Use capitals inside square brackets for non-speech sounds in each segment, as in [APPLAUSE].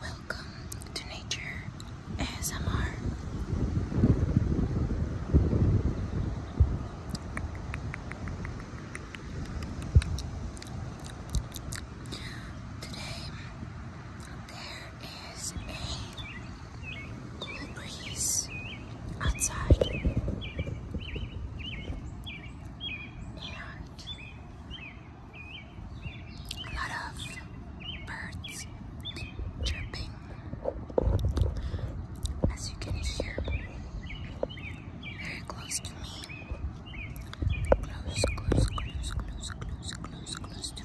Welcome to Nature ASMR. Today there is a cool breeze outside. And a lot of birds chirping, as you can hear, very close to me. Close, close, close, close, close, close, close to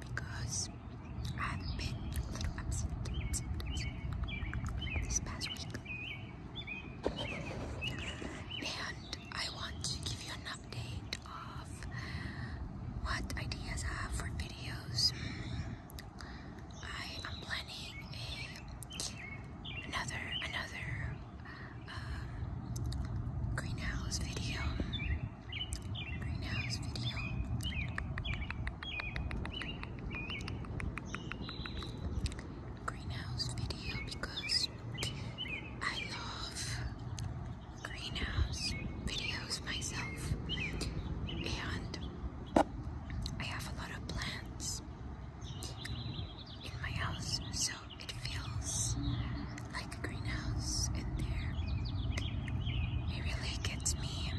because I have been a little absent this past week. And I want to give you an update of what ideas I have for videos. I am planning a another another greenhouse video. Greenhouse video. Greenhouse video because I love greenhouse videos myself and I have a lot of plants in my house so it feels like a greenhouse in there. It really gets me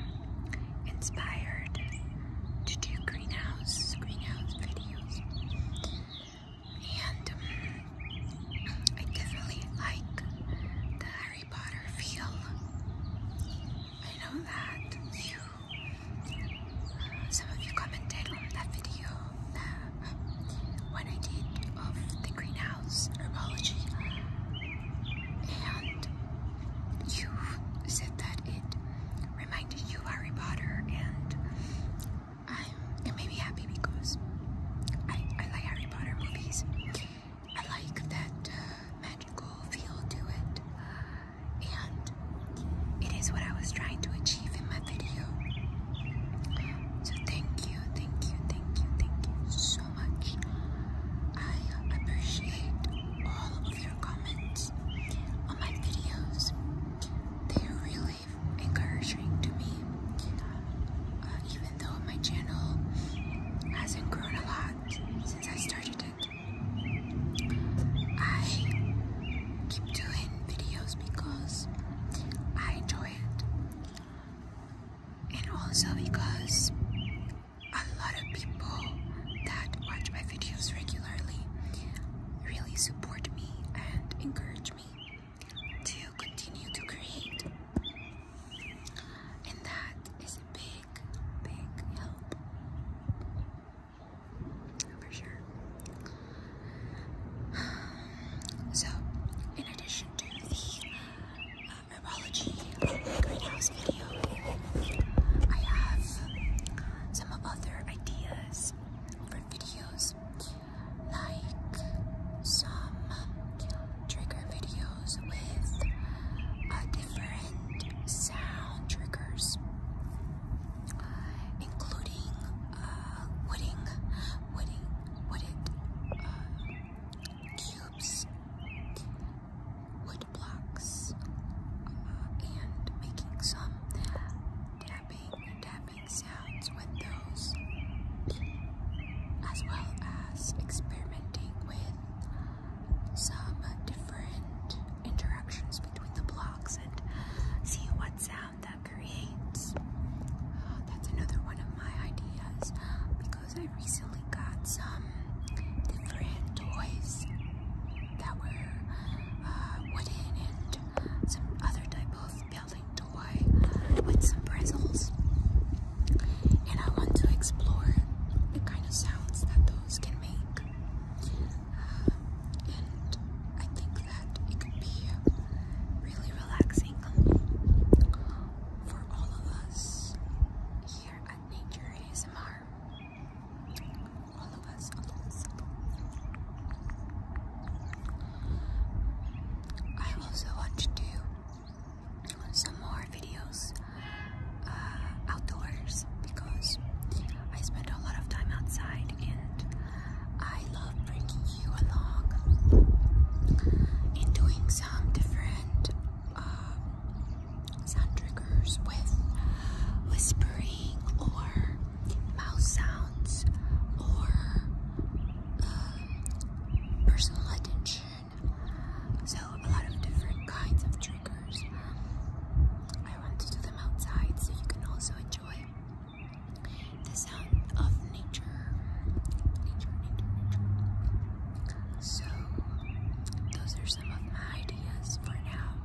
inspired to do greenhouse, greenhouse videos. And um, I definitely like the Harry Potter feel. I know that you, uh, some of you commented on that video when I did of um, the greenhouse herbology and you said that it reminded you of Harry Potter and I'm, it happy because I, I like Harry Potter movies. I like that uh, magical feel to it and it is what I was trying to achieve in my video. So thank you, thank you, thank you, thank you so much. I appreciate all of your comments on my videos. They are really encouraging to me. Uh, even though my channel hasn't grown a lot since I started it, I keep doing videos because I enjoy it and also because a lot of people that watch my videos regularly really support me and encourage me to continue to create and that is a big big help for sure. [SIGHS] So, in addition to the uh, greenhouse video, I have some other ideas for videos, like some trigger videos with uh, different sound triggers including uh, wooding, wooding, wooded uh, cubes, wood blocks, uh, and making some tapping, tapping sounds with those, as well as experimenting with some different interactions between the blocks and see what sound that creates. Uh, that's another one of my ideas because I recently got some different toys that were uh, wooden and some other type of building toy with some bristles. And I want to explore the kind of sounds that those can make and I think that it could be really relaxing for all of us here at Nature ASMR. all of us. I also want to do some more videos uh, outdoors because I spend a lot of time outside and I love bringing you along in doing some different uh, sound triggers with whispering or mouse sounds or uh, personal attention. So, a lot of different kinds of triggers. I want to do them outside so you can also enjoy the sound of nature. So, those are some of my ideas for now.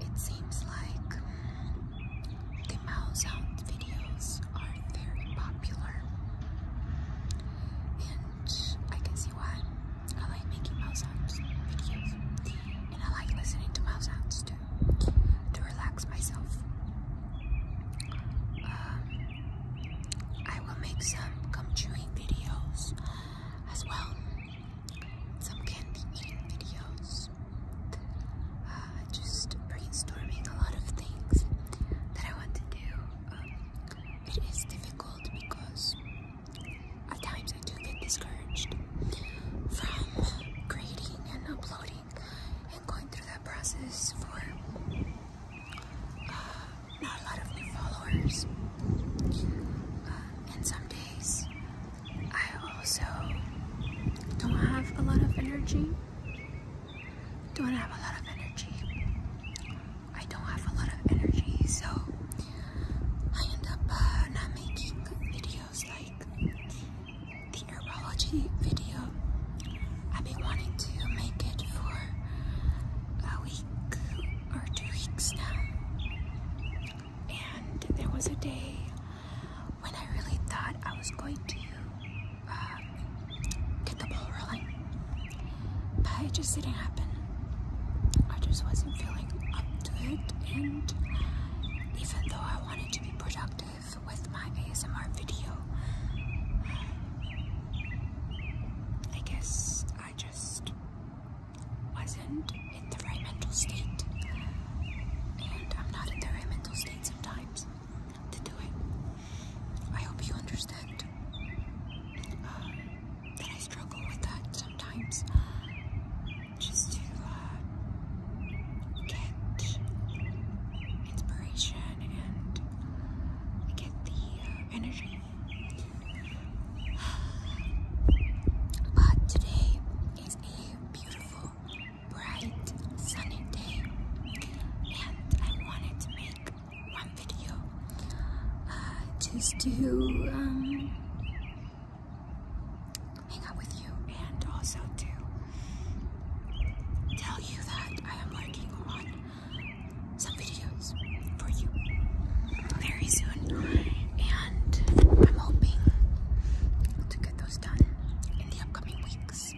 It seems like the mouse sound videos are very popular, I can see why. I like making mouth sounds, videos, and I like listening to mouth sounds too, to relax myself. Um, I will make some gum chewing videos as well, some candy eating videos, uh, just brainstorming a lot of things that I want to do. Um, it is difficult because at times I do get discouraged from creating and uploading and going through that process for uh, not a lot of new followers. and uh, some days I also don't have a lot of energy. Don't have a lot of energy. I don't have a lot of energy, so I end up uh, not making videos like the neurology video. I've been wanting to make it for a week or two weeks now, and there was a day when I really thought I was going to uh, get the ball rolling. But it just didn't happen. I just wasn't feeling up to it, and even though I wanted to be productive with my ASMR video, I guess I just wasn't in the right mental state. And I'm not in the right mental state sometimes to do it. I hope you understand that I struggle with that sometimes. Just to uh, get inspiration and get the uh, energy. But today is a beautiful, bright, sunny day, and I wanted to make one video uh, just to um, hang out with you and also to tell you that I am working on some videos for you very soon and I'm hoping to get those done in the upcoming weeks.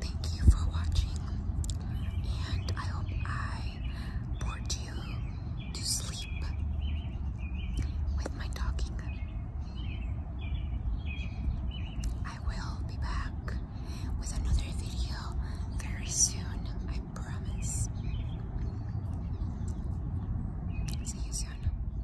Thank you for watching, and I hope I bored you to sleep with my talking. I will be back with another video very soon, I promise. See you soon.